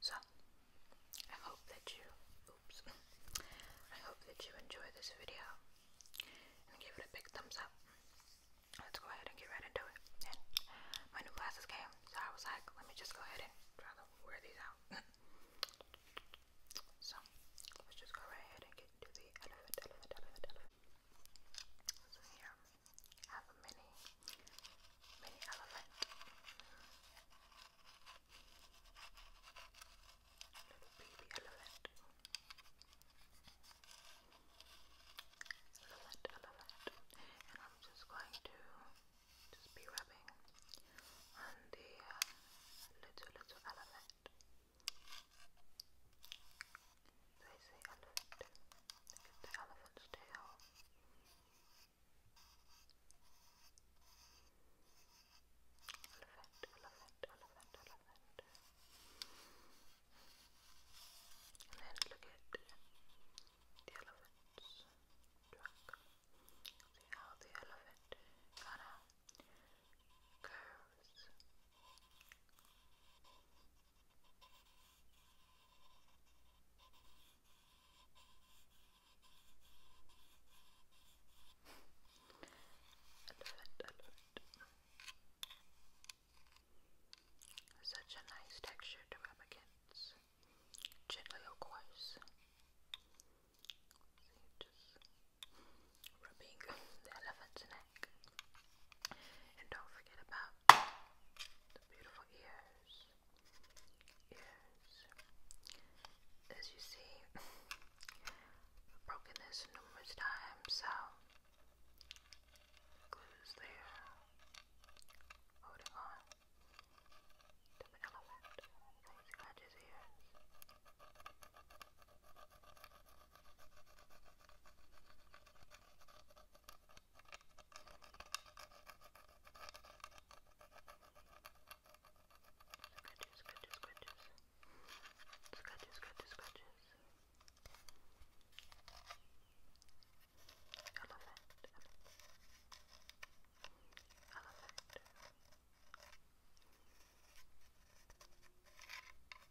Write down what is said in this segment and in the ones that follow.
so I hope that you oops I hope that you enjoy this video and give it a big thumbs up. Let's go ahead and get right into it. my new glasses came, so I was like, let me just go ahead and try to wear these out. so let's just go right ahead and get to the elephant, elephant, elephant, elephant. So here have a mini, mini elephant. Little baby elephant. Elephant, elephant. And I'm just going to just be rubbing on the uh, little, little elephant. They say elephant. the elephant's tail. Elephant, elephant, elephant, elephant. And then look at the elephant's See how the elephant kind of curves. I love Such a nice texture to rub against. Gently, of course. just rubbing the elephant's neck neck. And don't forget about the beautiful ears. Ears. As you see, I've broken this numerous times, so the glue's there. Holding on to the element. Things got his Scratches, scratches, scratches, scratches, scratches. Elephant, elephant, elephant.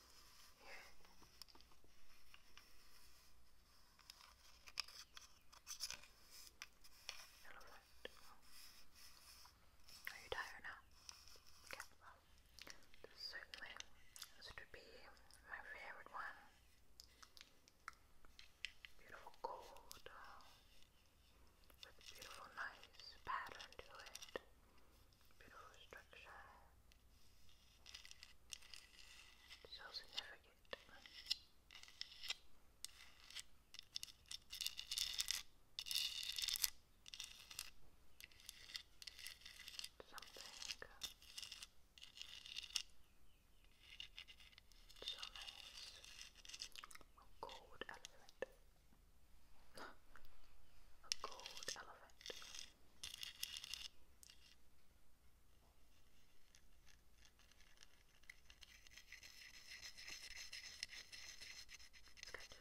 You're you tired now? certainly this would be my favorite one. Beautiful gold uh, with beautiful, nice pattern to it. Beautiful structure. So significant. Something so nice. A gold a gold elephant.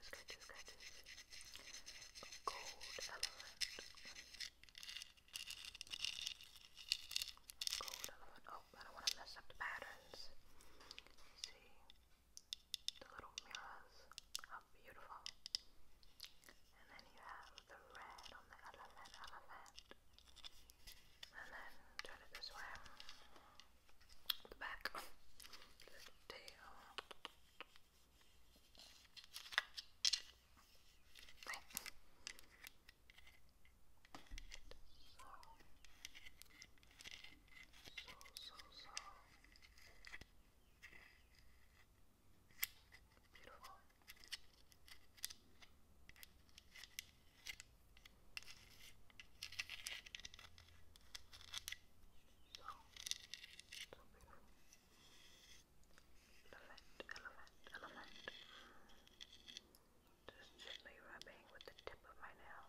Scratches, scratches, scratches. A gold elephant. Gold elephant. Oh, I don't want to mess up the patterns. Let's see the little mirrors, how beautiful. And then you have the red on the elephant, elephant. And then turn it this way. The back, the tail. So, so, so. Beautiful. So, so beautiful. Elephant, elephant, elephant. Just gently rubbing with the tip of my nail.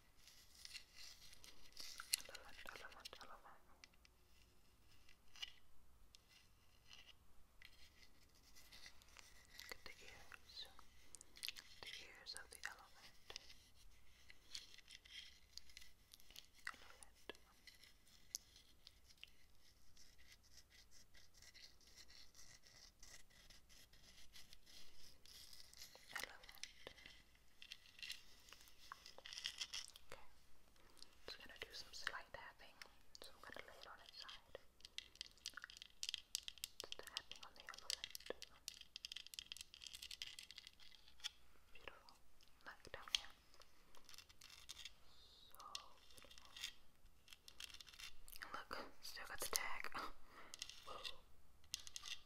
Elephant, elephant, elephant. Look at the ears. The ears of the elephant. Elephant. Elephant. Okay. Just gonna do some slight tapping. So I'm gonna lay it on its side. Just tapping on the other light. Beautiful. Back down here. So beautiful. And look, still got the tag.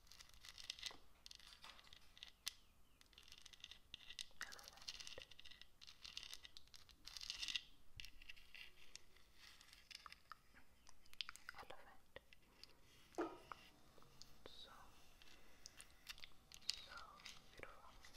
So, so beautiful. Elephant.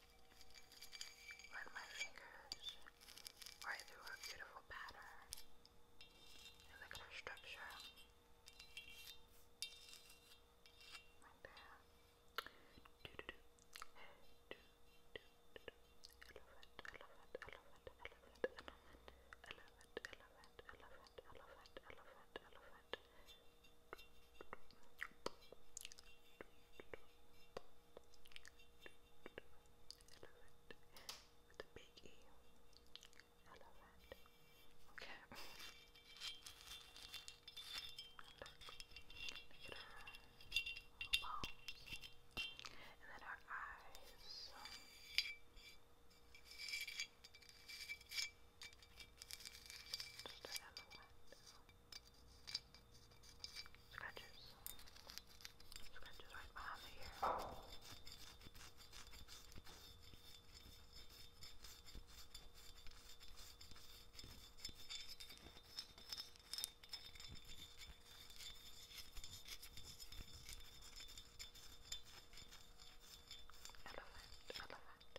run my fingers right through a beautiful pattern. And look at her structure. Right there. Do do do. Do do do do. Elephant, elephant, elephant, elephant, elephant, elephant, elephant, elephant, elephant, elephant, elephant, elephant. Elephant with a big E. Elephant. Okay. Look. Look at her little bones. And then her eyes. Her just around the window. Scratches. Scratches right behind the ear. Elephant, elephant.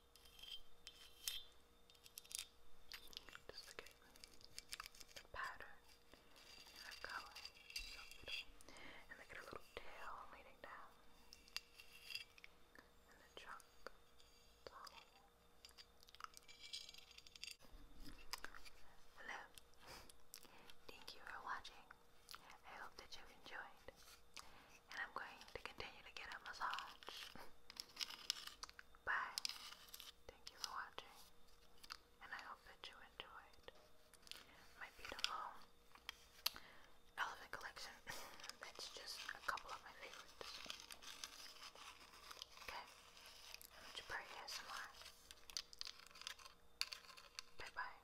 Just to get the pattern and the color. and they get a little tail leading down. And the trunk. Hello. Thank you for watching. I hope that you've enjoyed and I'm going to continue to get a massage. Bye. Thank you for watching, and I hope that you enjoyed my beautiful elephant collection. That's just a couple of my favorites. Okay, I'm Jabari ASMR. Bye bye.